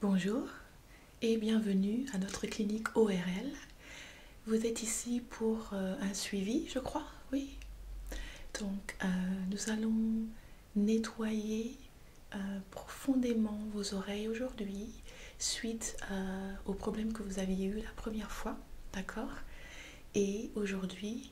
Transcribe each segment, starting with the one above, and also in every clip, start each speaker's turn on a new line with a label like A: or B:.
A: Bonjour et bienvenue à notre clinique ORL. Vous êtes ici pour euh, un suivi, je crois, oui. Donc, euh, nous allons nettoyer euh, profondément vos oreilles aujourd'hui suite aux problèmes que vous aviez eu la première fois, d'accord Et aujourd'hui,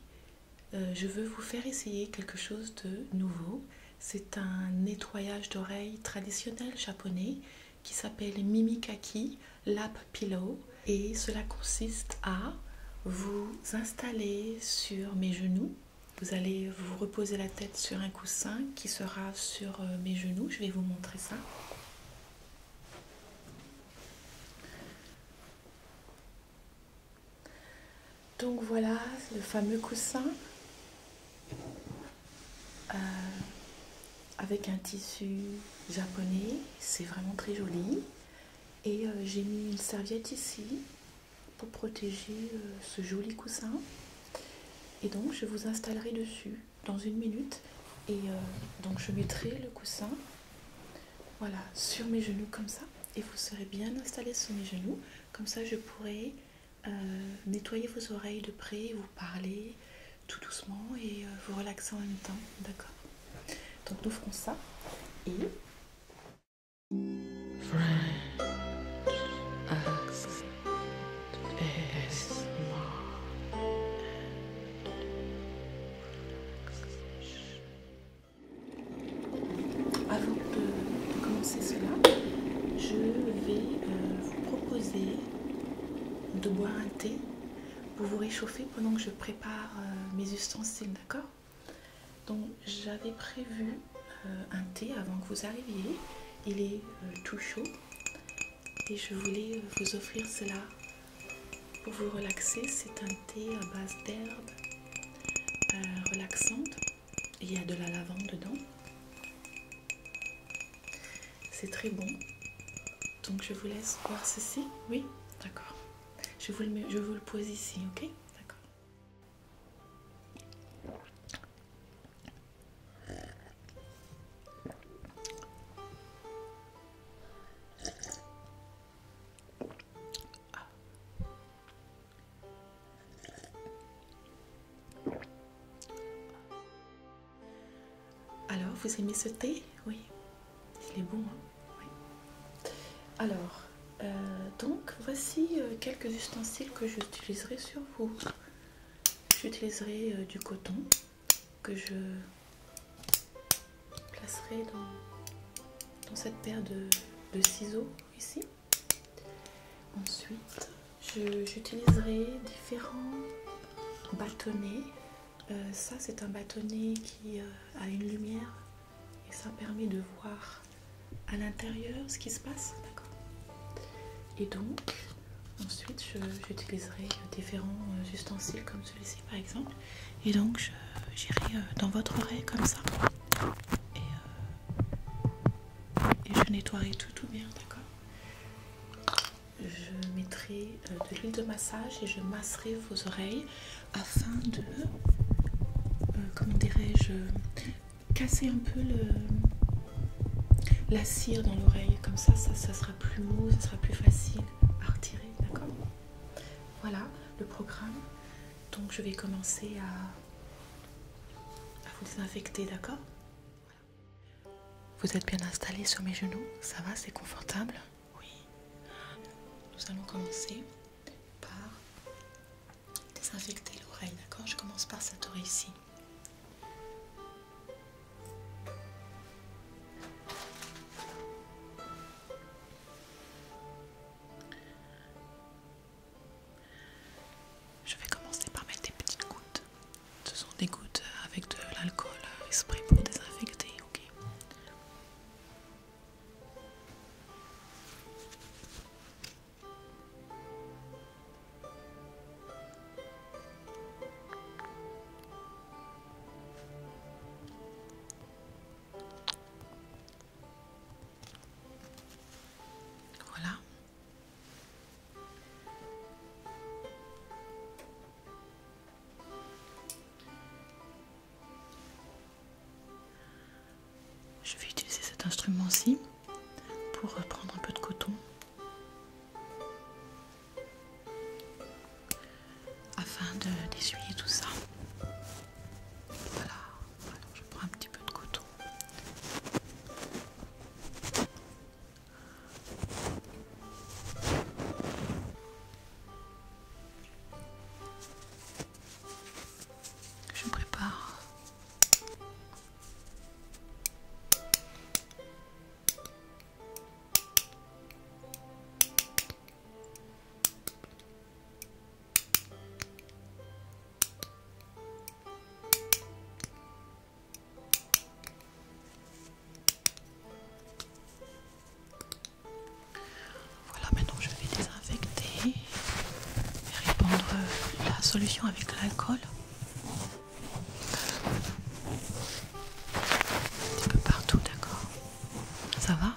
A: euh, je veux vous faire essayer quelque chose de nouveau. C'est un nettoyage d'oreilles traditionnel japonais qui s'appelle Mimikaki Lap Pillow et cela consiste à vous installer sur mes genoux. Vous allez vous reposer la tête sur un coussin qui sera sur euh, mes genoux. Je vais vous montrer ça. Donc voilà le fameux coussin euh, avec un tissu japonais, c'est vraiment très joli. Et euh, j'ai mis une serviette ici pour protéger euh, ce joli coussin. Et donc je vous installerai dessus dans une minute. Et donc je mettrai le coussin voilà, sur mes genoux comme ça. Et vous serez bien installé sur mes genoux. Comme ça, je pourrai euh, nettoyer vos oreilles de près, vous parler tout doucement et euh, vous relaxer en même temps. D'accord Donc, nous ferons ça. Et. Avant de commencer cela, je vais euh, vous proposer de boire un thé pour vous réchauffer pendant que je prépare euh, mes ustensiles, d'accord Donc j'avais prévu euh, un thé avant que vous arriviez. Il est tout chaud et je voulais vous offrir cela pour vous relaxer. C'est un thé à base d'herbes relaxante. Il y a de la lavande dedans. C'est très bon. Donc je vous laisse voir ceci. Oui, d'accord. Je, vous le, je vous le pose ici, ok D'accord. Ah. Alors, vous aimez ce thé Oui. Il est bon, hein? Alors, euh, donc, voici euh, quelques ustensiles que j'utiliserai sur vous. J'utiliserai euh, du coton que je placerai dans, cette paire de ciseaux ici. Ensuite, j'utiliserai différents bâtonnets. Euh, ça, c'est un bâtonnet qui euh, a une lumière et ça permet de voir à l'intérieur ce qui se passe. D'accord Et donc, ensuite, j'utiliserai différents euh, ustensiles comme celui-ci, par exemple. Et donc, j'irai dans votre oreille comme ça et je nettoierai tout tout bien d'accord je mettrai euh, de l'huile de massage et je masserai vos oreilles afin de euh, comment dirais-je casser un peu la cire dans l'oreille comme ça, ça ça sera plus mou ça sera plus facile à retirer d'accord voilà le programme donc je vais commencer à à vous désinfecter, d'accord Vous êtes bien installé sur mes genoux Ça va, c'est confortable Oui. Nous allons commencer par désinfecter l'oreille, d'accord Je commence par cette oreille ici. Je vais commencer par mettre des petites gouttes. Ce sont des gouttes avec de l'alcool esprit pour désinfecter, ok voilà. Je vais utiliser cet instrument-ci pour prendre un peu de coton afin d'essuyer tout ça. Voilà je prends un petit peu de coton. Je prépare. Voilà, maintenant je vais désinfecter et répandre la solution avec l'alcool un petit peu partout, d'accord Ça va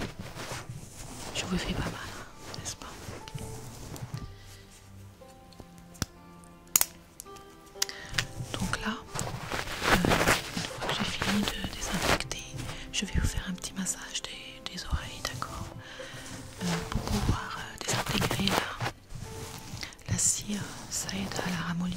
A: Oui. Je vous fais pas mal. Hein donc là, euh, une fois que j'ai fini de désinfecter, je vais vous faire un petit massage des, oreilles, d'accord euh, Pour pouvoir euh, désintégrer la, la cire, ça aide à la ramollir.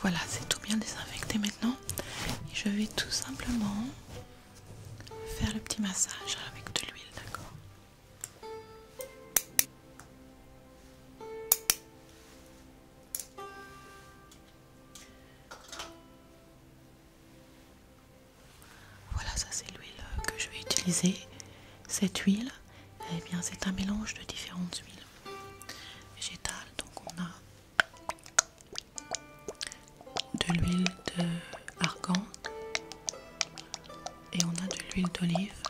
A: Voilà, c'est tout bien désinfecté maintenant. je vais tout simplement faire le petit massage avec de l'huile, d'accord voilà, ça c'est l'huile que je vais utiliser. Cette huile, eh bien c'est un mélange de différentes huiles végétales. Donc on a de l'huile d'argan et on a de l'huile d'olive.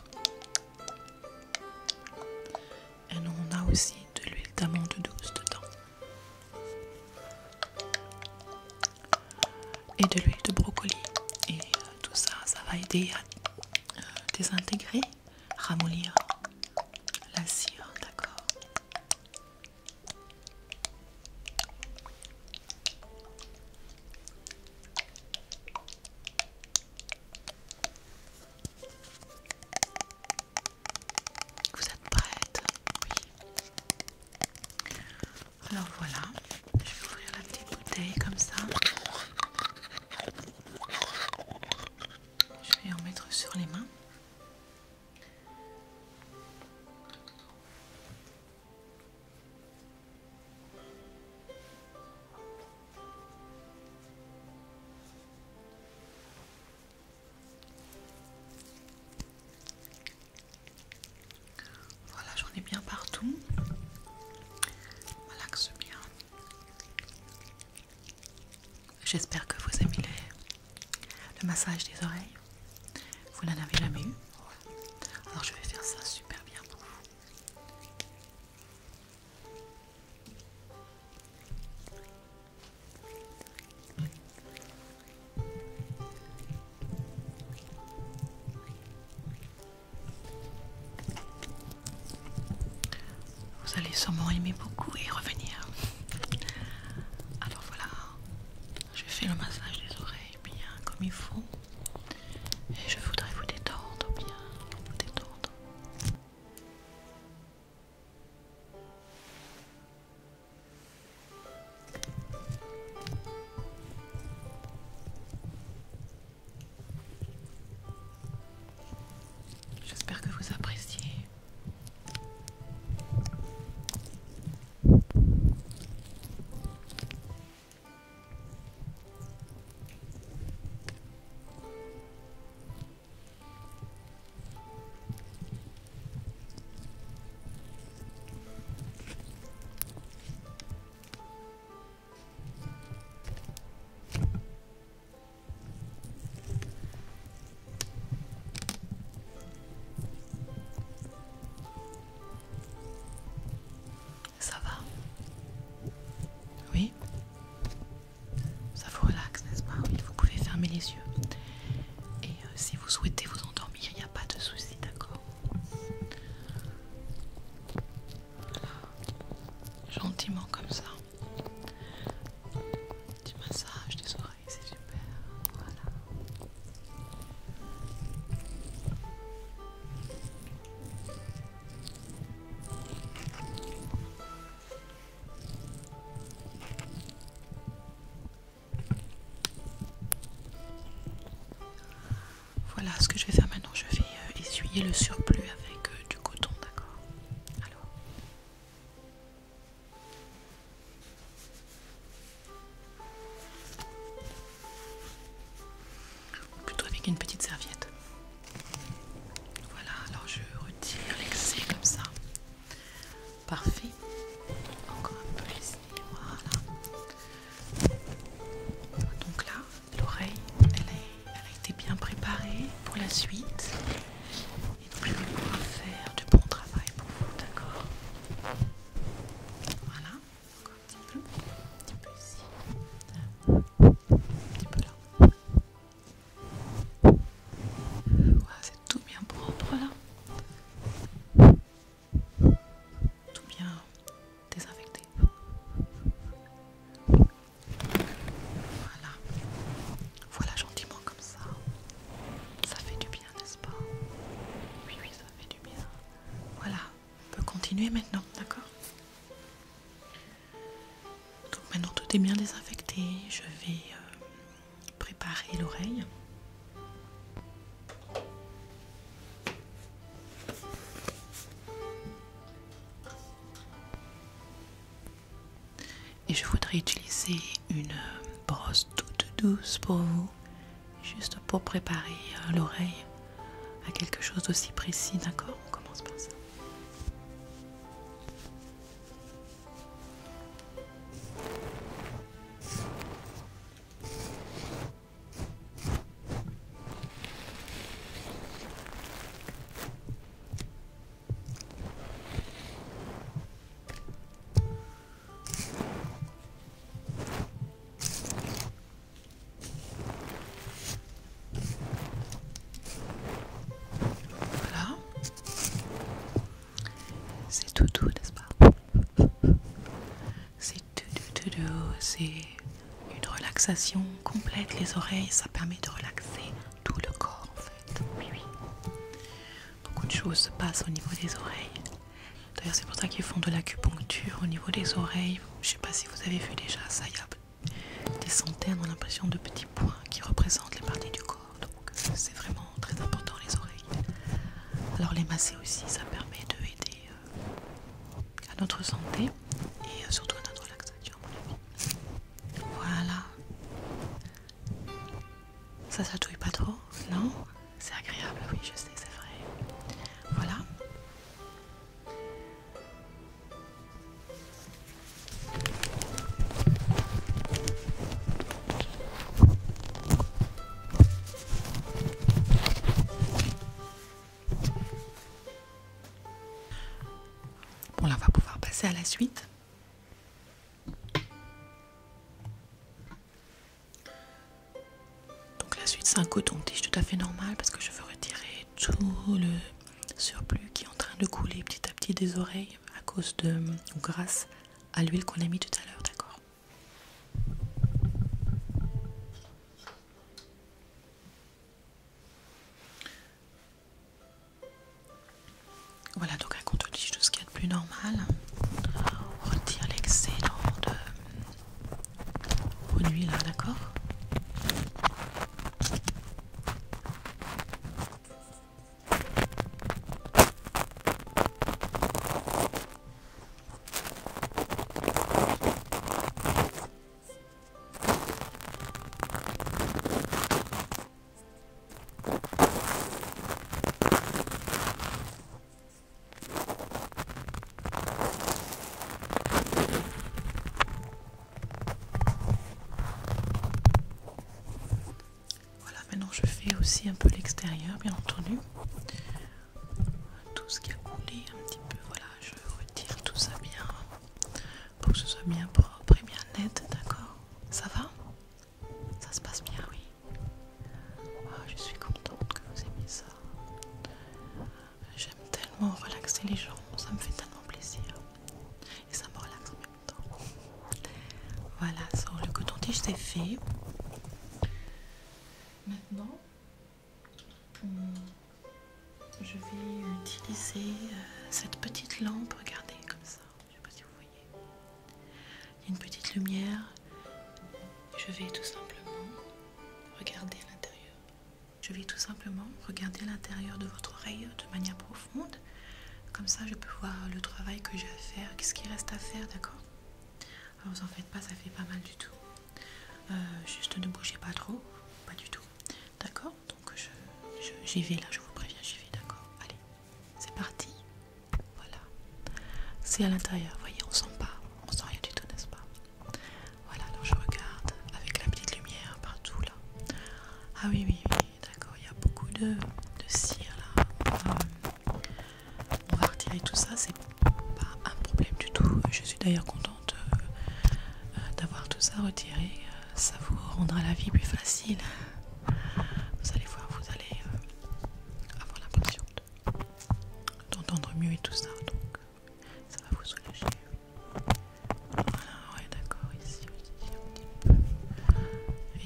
A: Et on a aussi de l'huile d'amande douce dedans. Et de l'huile de brocoli. Et euh, tout ça, ça va aider à euh, désintégrer ramollir la cire, d'accord vous êtes prête Oui. Alors voilà, je vais ouvrir la petite bouteille comme ça. Je vais en mettre sur les mains. Voilà, j'en ai bien partout. Relaxe bien. J'espère que vous aimez le, le massage des oreilles. Vous n'en avez jamais eu Alors je vais faire ça super bien pour vous. Vous allez sûrement aimer beaucoup et revenir. Alors voilà, je fais le massage des oreilles bien comme il faut. Et je voudrais vous détendre bien, vous détendre. J'espère que vous appréciez. Ça va Oui Ça vous relaxe, n'est-ce pas vous pouvez fermer les yeux. Et euh, si vous souhaitez vous endormir, il n'y a pas de souci, d'accord Gentiment comme ça. Du massage des oreilles, c'est super. Voilà. Voilà ce que je vais faire maintenant. Je vais euh, essuyer le surplus avec euh, du coton, d'accord Alors plutôt avec une petite serviette. Voilà, alors je retire l'excès comme ça. Parfait. Encore un peu ici, voilà. Donc là, l'oreille, elle, a été bien préparée pour la suite. Et donc je vais pouvoir faire du bon travail pour vous, d'accord Voilà, encore un petit peu, un petit peu ici, un petit peu là. c'est tout bien propre là. Tout bien désinfecté. Voilà. Voilà gentiment comme ça. Ça fait du bien, n'est-ce pas Oui, oui, ça fait du bien. Voilà. On peut continuer maintenant, d'accord donc maintenant tout est bien désinfecté, je vais euh, préparer l'oreille. Et je voudrais utiliser une brosse toute douce pour vous, juste pour préparer euh, l'oreille à quelque chose d'aussi précis, d'accord On commence par ça. Voilà. C'est tout doux, n'est-ce pas C'est tout doux, tout doux, c'est une relaxation complète les oreilles, ça permet de relaxer tout le corps en fait. Oui, oui. Beaucoup de choses se passent au niveau des oreilles. D'ailleurs, c'est pour ça qu'ils font de l'acupuncture au niveau des oreilles. Je sais pas si vous avez vu déjà, ça y a des centaines, on l'impression, de petits points qui représentent les parties du corps. Donc, c'est vraiment très important les oreilles. Alors, les masser aussi, ça permet de aider euh, à notre santé et euh, surtout à notre relaxation. mon voilà. Ça chatouille pas trop, non C'est agréable, oui, je sais, c'est vrai. Voilà. Bon, là, on va pouvoir passer à la suite. Donc la suite, c'est un coton-tige tout à fait normal parce que je veux retirer tout le surplus qui est en train de couler petit à petit des oreilles à cause de grâce à l'huile qu'on a mis tout à l'heure, d'accord voilà donc un contre tout de ce qu'il y a de plus normal. On retire l'excellent de... produits euh, là, d'accord voilà, maintenant je fais aussi un peu l'extérieur, bien entendu. Tout ce qui a coulé un petit peu, voilà, je retire tout ça bien pour que ce soit bien propre et bien net, d'accord Ça va Ça se passe bien, oui. Ah, je suis contente que vous mis ça. J'aime tellement relaxer les gens, ça me fait tellement plaisir. Et ça me relaxe en même temps. Voilà, le coton-tige c'est fait. Maintenant, je vais utiliser euh, cette petite lampe, regardez comme ça, je ne sais pas si vous voyez. Il y a une petite lumière. Je vais tout simplement regarder à l'intérieur. Je vais tout simplement regarder l'intérieur de votre oreille de manière profonde. Comme ça, je peux voir le travail que j'ai à faire, qu'est-ce qui reste à faire, d'accord ah, Vous en faites pas, ça fait pas mal du tout. Euh, juste ne bougez pas trop, pas du tout, d'accord donc j'y je, vais là, je vous préviens, j'y vais, d'accord Allez, c'est parti. Voilà. C'est à l'intérieur, voyez, on sent pas, on sent rien du tout, n'est-ce pas Voilà, donc je regarde avec la petite lumière partout là. Ah oui, oui, oui d'accord, il y a beaucoup de, cire là. Euh, on va, retirer tout ça, c'est pas un problème du tout. Je suis d'ailleurs contente euh, d'avoir tout ça retiré. Euh, ça vous rendra la vie plus facile. Vous allez voir, vous allez euh, avoir l'impression d'entendre mieux et tout ça. Donc, ça va vous soulager. Voilà, ouais, d'accord. Ici aussi, un petit peu.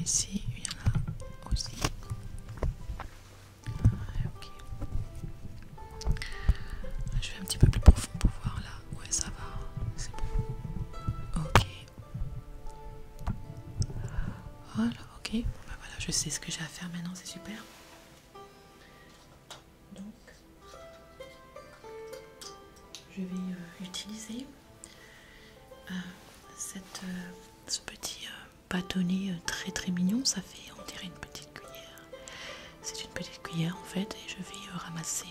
A: Ici, il y en a aussi. ok. Je vais un petit peu plus profond pour voir là. Ouais, ça va, c'est bon. Ok. Voilà, ok. Bah voilà, je sais ce que j'ai à faire maintenant, c'est super. Donc, je vais euh, utiliser euh, euh, ce petit bâtonnet très très mignon. Ça fait, enterrer une petite cuillère. C'est une petite cuillère en fait et je vais euh, ramasser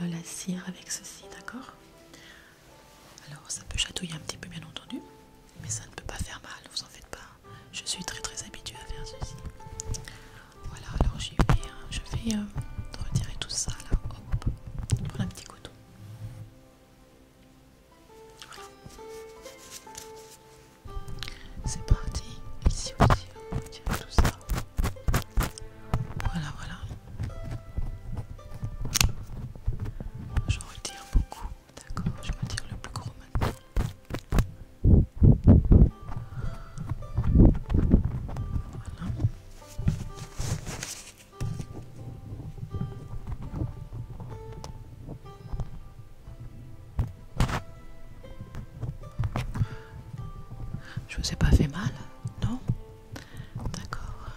A: le, euh, la cire avec ceci, d'accord Alors ça peut chatouiller un petit peu bien entendu, mais ça ne peut pas faire mal, vous en faites pas. Je suis très très habituée à faire ceci. Voilà, alors j'ai hein. je vais euh, retirer tout ça là, hop, prend un petit couteau. Voilà. C'est parti, ici aussi, on hein. tout ça. Voilà, voilà. Je retire beaucoup. D'accord, je retire le plus gros maintenant. Je vous ai pas fait mal, non D'accord.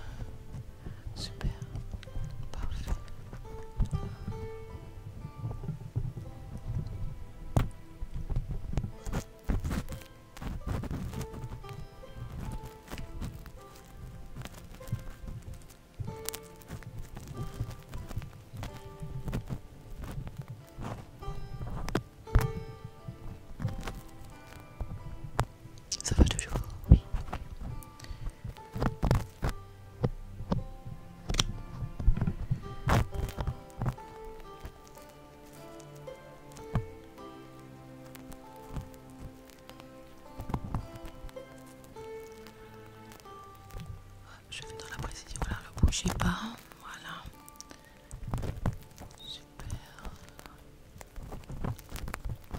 A: Super. Parfait. Ça va toujours Oui. Je vais dans la précision, Là, ne bouge pas, voilà. Super.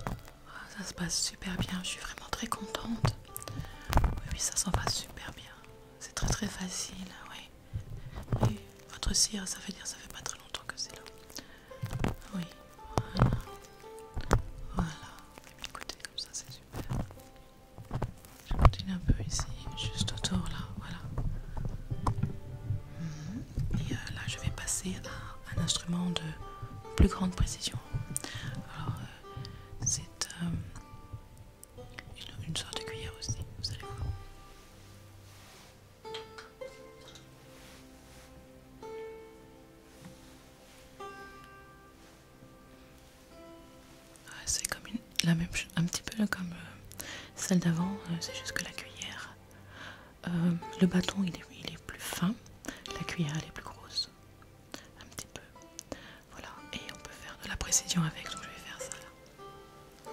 A: Ah, ça se passe super bien, je suis vraiment très contente. Oui, oui, ça s'en passe super bien. C'est très très facile, oui. Votre cire, ça veut dire ça fait pas très longtemps que c'est là. Oui, voilà. Voilà. comme ça c'est super. Je continuer un peu ici, juste autour là, voilà. Mhm. Et euh, là, je vais passer à un instrument de plus grande précision. Alors, euh, c'est euh, une, sorte de cuillère aussi, vous savez ah, c'est comme la même un petit peu comme euh, celle d'avant, euh, c'est juste que la cuillère, euh, le bâton il est, il est plus fin, la cuillère elle est plus grosse, un petit peu. Voilà, et on peut faire de la précision avec, donc je vais faire ça là.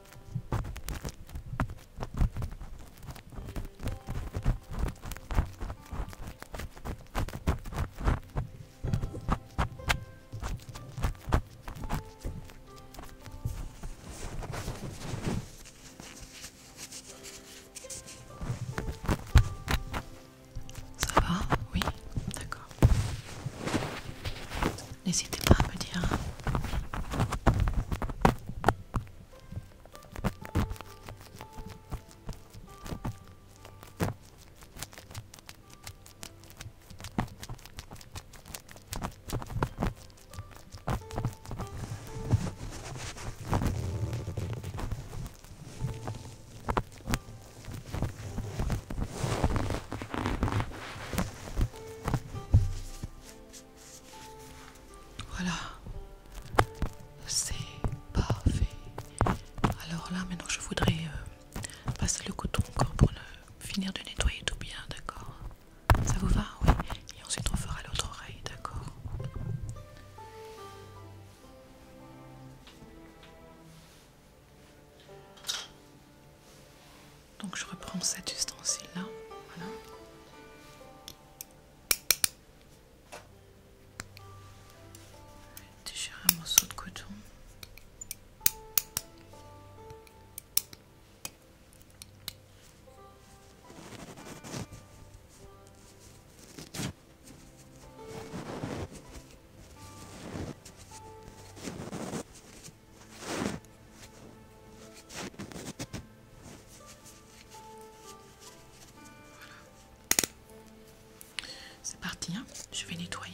A: Ça va Oui, d'accord n'hésitez pas à me dire. Voilà. C'est parfait. Alors là, maintenant, je voudrais euh, passer le coton encore pour le finir de nettoyer tout bien, d'accord Ça vous va Oui. Et ensuite, on fera l'autre oreille, d'accord donc je reprends cet ustensile-là. Voilà. Déchirer un morceau de coton. C'est parti, hein. je vais nettoyer.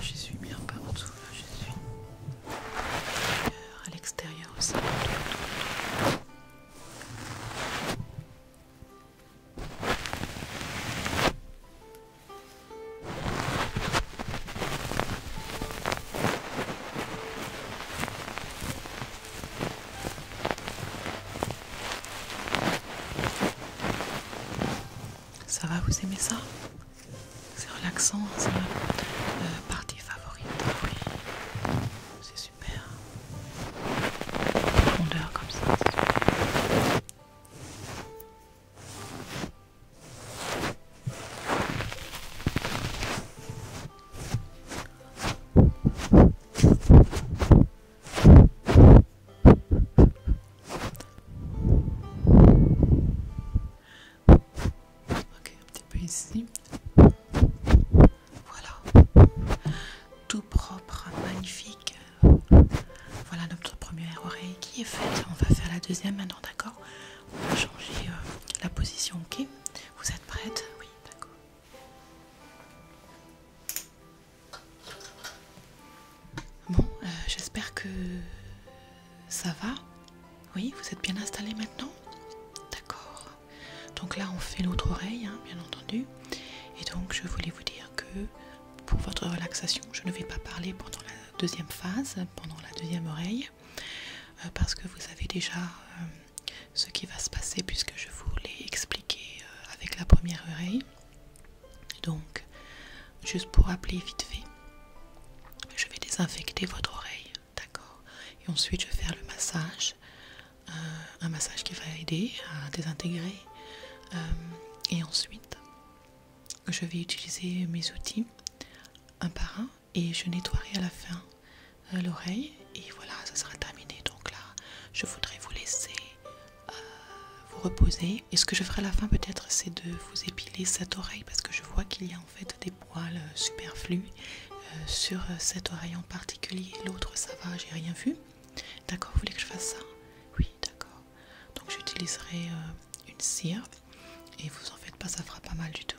A: J'y suis bien partout, là j'y suis à l'extérieur aussi. Ça va, vous aimez ça C'est relaxant, c'est ma euh, partie favorite. Oui, c'est super. profondeur comme ça. Ok, un petit peu ici. Voilà. Tout propre, magnifique. Voilà notre première oreille qui est faite. On va faire la deuxième maintenant d'accord On va changer euh, la position, ok Vous êtes prête Oui, d'accord. Bon, euh, j'espère que ça va. Oui, vous êtes bien installé maintenant D'accord. Donc là, on fait l'autre oreille, hein, bien entendu. Et donc, je voulais vous dire que pour votre relaxation, je ne vais pas parler pendant la deuxième phase, pendant la deuxième oreille, euh, parce que vous savez déjà euh, ce qui va se passer puisque je vous l'ai expliqué euh, avec la première oreille. Donc, juste pour appeler vite fait, je vais désinfecter votre oreille, d'accord Et ensuite, je vais faire le massage, un massage qui va aider à désintégrer. et ensuite, je vais utiliser mes outils un par un et je nettoierai à la fin euh, l'oreille et voilà ça sera terminé donc là je voudrais vous laisser euh, vous reposer et ce que je ferai à la fin peut-être c'est de vous épiler cette oreille parce que je vois qu'il y a en fait des poils euh, superflus sur cette oreille en particulier l'autre ça va j'ai rien vu d'accord vous voulez que je fasse ça oui d'accord donc j'utiliserai euh, une cire et vous en faites pas, ça fera pas mal du tout.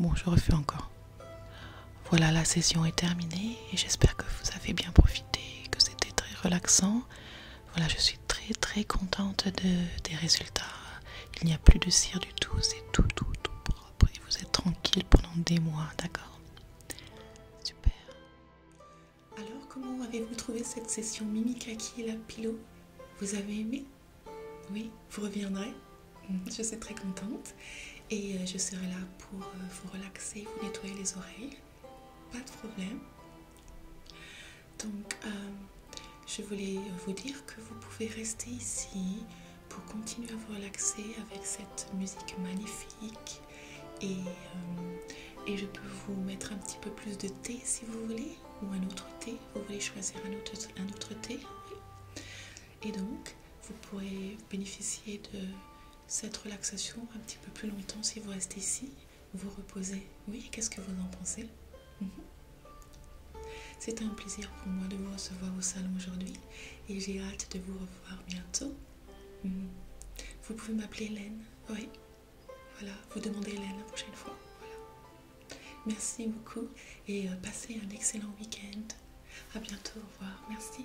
A: Bon, je refais encore. Voilà, la session est terminée et j'espère que vous avez bien profité, que c'était très relaxant. Voilà, je suis très très contente des résultats. Il n'y a plus de cire du tout, c'est tout tout tout propre et vous êtes tranquille pendant des mois, d'accord Super. Alors, comment avez-vous trouvé cette session Mimikaki et la pilote Vous avez aimé Oui, vous reviendrez Je suis très contente et euh, je serai là pour euh, vous relaxer, vous nettoyer les oreilles, pas de problème. Donc, euh, je voulais vous dire que vous pouvez rester ici pour continuer à vous relaxer avec cette musique magnifique et, et je peux vous mettre un petit peu plus de thé si vous voulez ou un autre thé, vous voulez choisir un autre, un autre thé et donc vous pourrez bénéficier de cette relaxation un petit peu plus longtemps si vous restez ici, vous reposez. Oui, qu'est-ce que vous en pensez mhm. C'est un plaisir pour moi de vous recevoir au salon aujourd'hui et j'ai hâte de vous revoir bientôt. Mhm. Vous pouvez m'appeler Hélène, oui. Voilà, vous demandez Hélène la prochaine fois. Merci beaucoup et euh, passez un excellent week-end. A bientôt, au revoir. Merci.